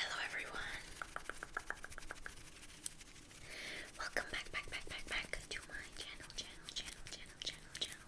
Hello everyone. Welcome back, back, back, back, back to my channel, channel, channel, channel, channel, channel.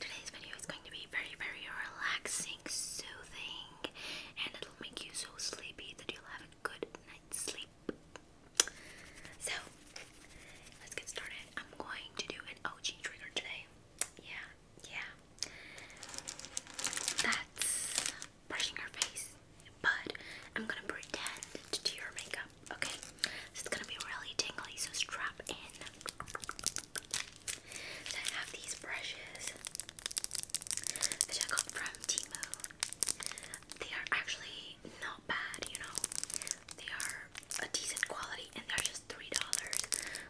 Today's video is going to be very, very relaxing, soothing, and it'll make you so sleepy that you'll have a good night's sleep. So, let's get started. I'm going to do an OG trigger today yeah, yeah. That's brushing her face, but I'm gonna pretend to do your makeup, okay? So it's gonna be really tingly, so strap in. I have these brushes, which I got from Timu. They are actually not bad, you know? They are a decent quality, and they're just $3.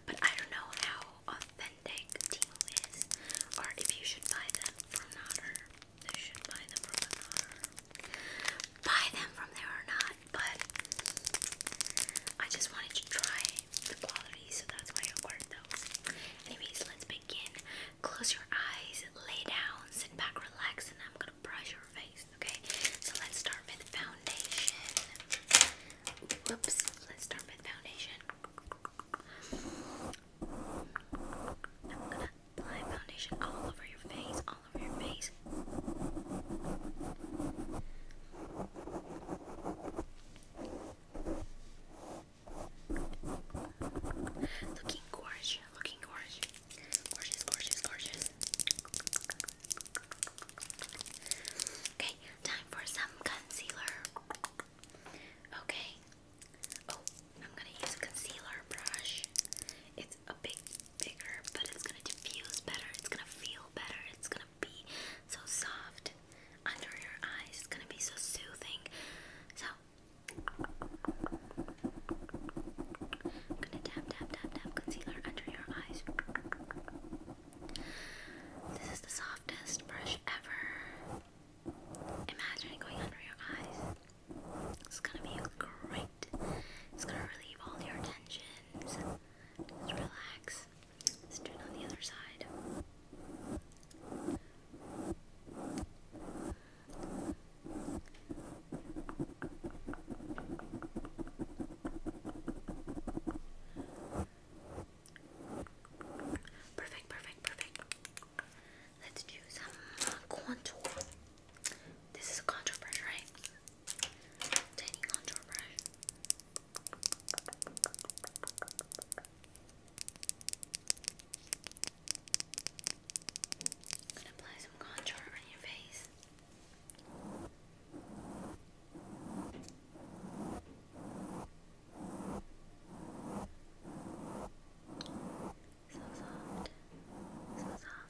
But I don't know how authentic Timo is, or if you should buy them from Otter. Buy them from there or not, but I just wanted to try the quality, so that's why I ordered those. Anyways, let's begin. Close your eyes, lay down, sit back, relax, and I'm gonna brush your face. Okay, so let's start with foundation. Whoops, let's start with foundation. I'm gonna apply foundation all over your face, all over your face. Looking gorgeous, looking gorgeous. Gorgeous, gorgeous, gorgeous. Okay, time for some concealer. Okay. Oh, I'm gonna use a concealer brush. It's a big, bigger, but it's gonna diffuse better. It's gonna feel better. It's gonna be so soft under your eyes. It's gonna be so soothing. So, I'm gonna tap, tap, tap, tap concealer under your eyes. This is the softest brush ever. Imagine going under your eyes. It's gonna be great. It's gonna relieve all your tensions. Just relax. Let's do it on the other side. Perfect, perfect, perfect. Let's do some contour. This is a contour brush, right? Tiny contour brush. I'm gonna apply some contour on your face. So soft, so soft, soft, soft.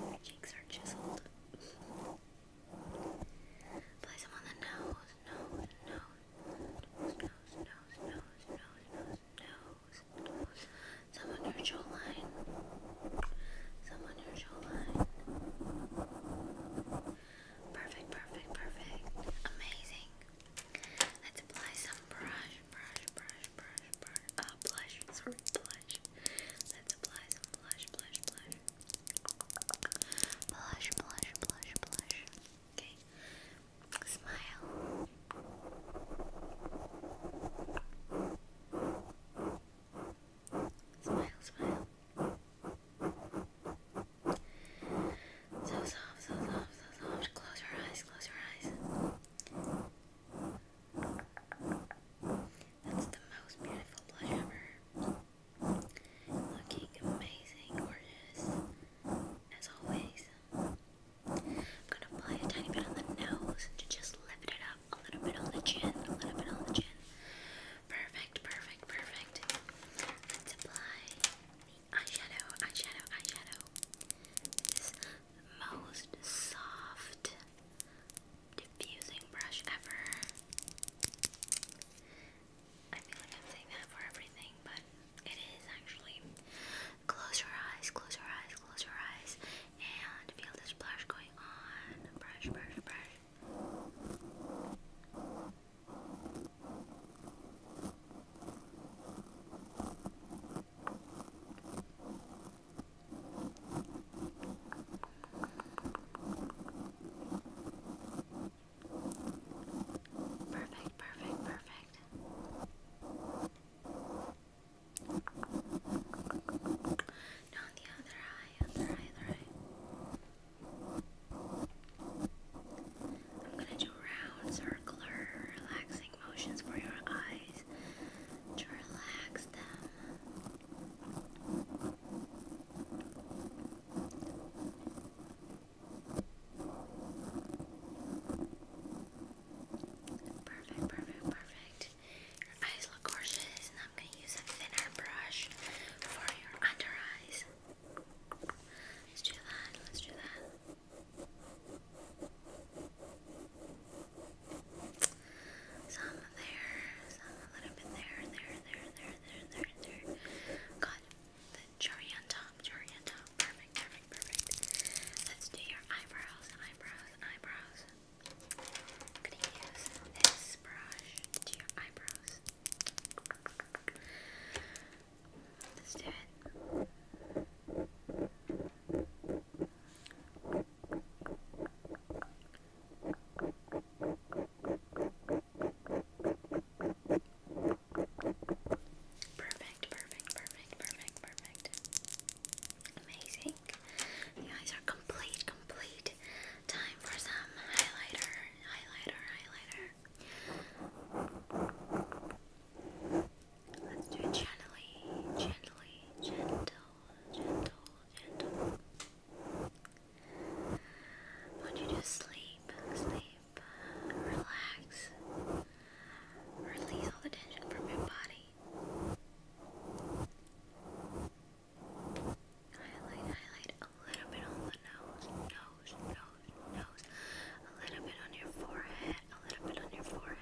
Your cheeks are chiseled. Place them on the nose, nose, nose, nose, nose, nose, nose, nose, nose, nose nose, some on your jawline, some on your jawline. Perfect, perfect, perfect. Amazing. Let's apply some brush, brush, brush, brush, brush. Uh, blush, sorry, blush. Let's apply some blush, blush, blush. Blush, blush, blush, blush. Okay, Smile. Smile, smile. So soft, so soft, so soft. Close your eyes, close your eyes. That's the most beautiful blush ever. Looking amazing, gorgeous, as always. I'm gonna apply a tiny bit on the nose to just lift it up, a little bit on the chin, a little bit on the chin. Perfect, perfect, perfect. Let's apply eyeshadow, eyeshadow, eyeshadow. This most soft diffusing brush ever. I feel like I'm saying that for everything, but it is actually. Close your eyes, close your eyes, close your eyes, and feel this brush going on. Brush, brush, brush. Perfect, perfect, perfect. No, the other eye, other eye, other eye. I'm gonna do round, circular, relaxing motions for your eyes to relax them. Perfect, perfect, perfect. Your eyes look gorgeous, and I'm gonna use a thinner brush for your under eyes. Let's do that, let's do that. Some there, some a little bit there, there, there, there, there, there, there. Got the cherry on top, cherry on top perfect, perfect, Let's do your eyebrows, eyebrows, eyebrows. I'm gonna use this brush to your eyebrows. Let's do it. Perfect, perfect, perfect, perfect, perfect. Amazing. The eyes are complete, complete. Time for some highlighter, highlighter, highlighter. Let's do it gently, gently, gentle, gentle, gentle. want you to sleep, sleep, relax, Release all the tension from your body. Highlight, highlight a little bit on the nose, nose, nose, nose. A little bit on your forehead, a little bit on your forehead.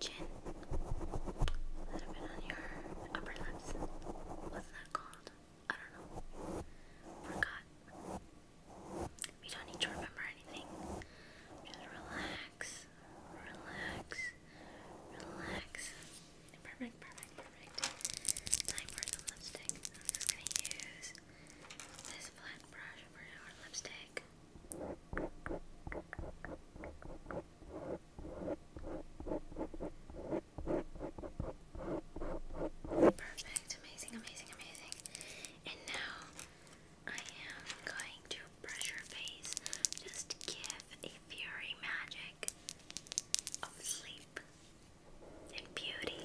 Chin. A little bit on your upper lips. What's that called? I don't know. Forgot. We don't need to remember anything. Just relax. Relax. Relax. Perfect, perfect, perfect. Time for some lipstick. I'm just gonna use this flat brush for our lipstick. Perfect, amazing, amazing, amazing. And now I am going to brush your face. Just give a fury magic of sleep and beauty.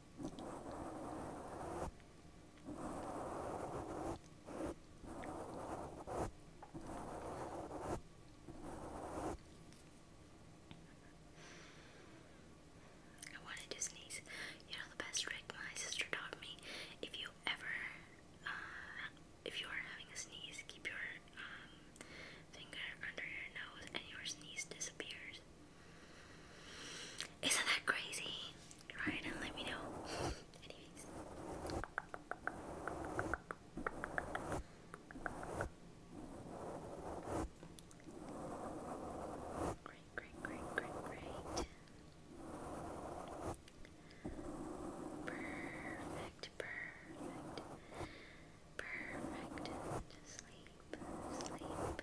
I wanted to sneeze. You know the best trick my sister taught me. If you ever, uh, if you are having a sneeze, keep your um, finger under your nose, and your sneeze disappears. Isn't that crazy? Right, and let me know. Anyways. Great, great, great, great, great. Perfect, perfect, perfect. sleep, sleep, sleep, sleep,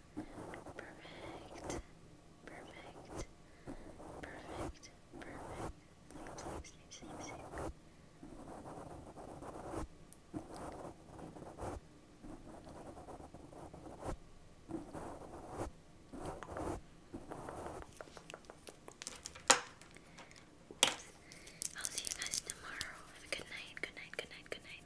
Perfect. Perfect. Perfect. Perfect. Sleep, sleep, sleep, sleep, sleep. Oops. I'll see you guys tomorrow. Have a good night. Good night. Good night. Good night.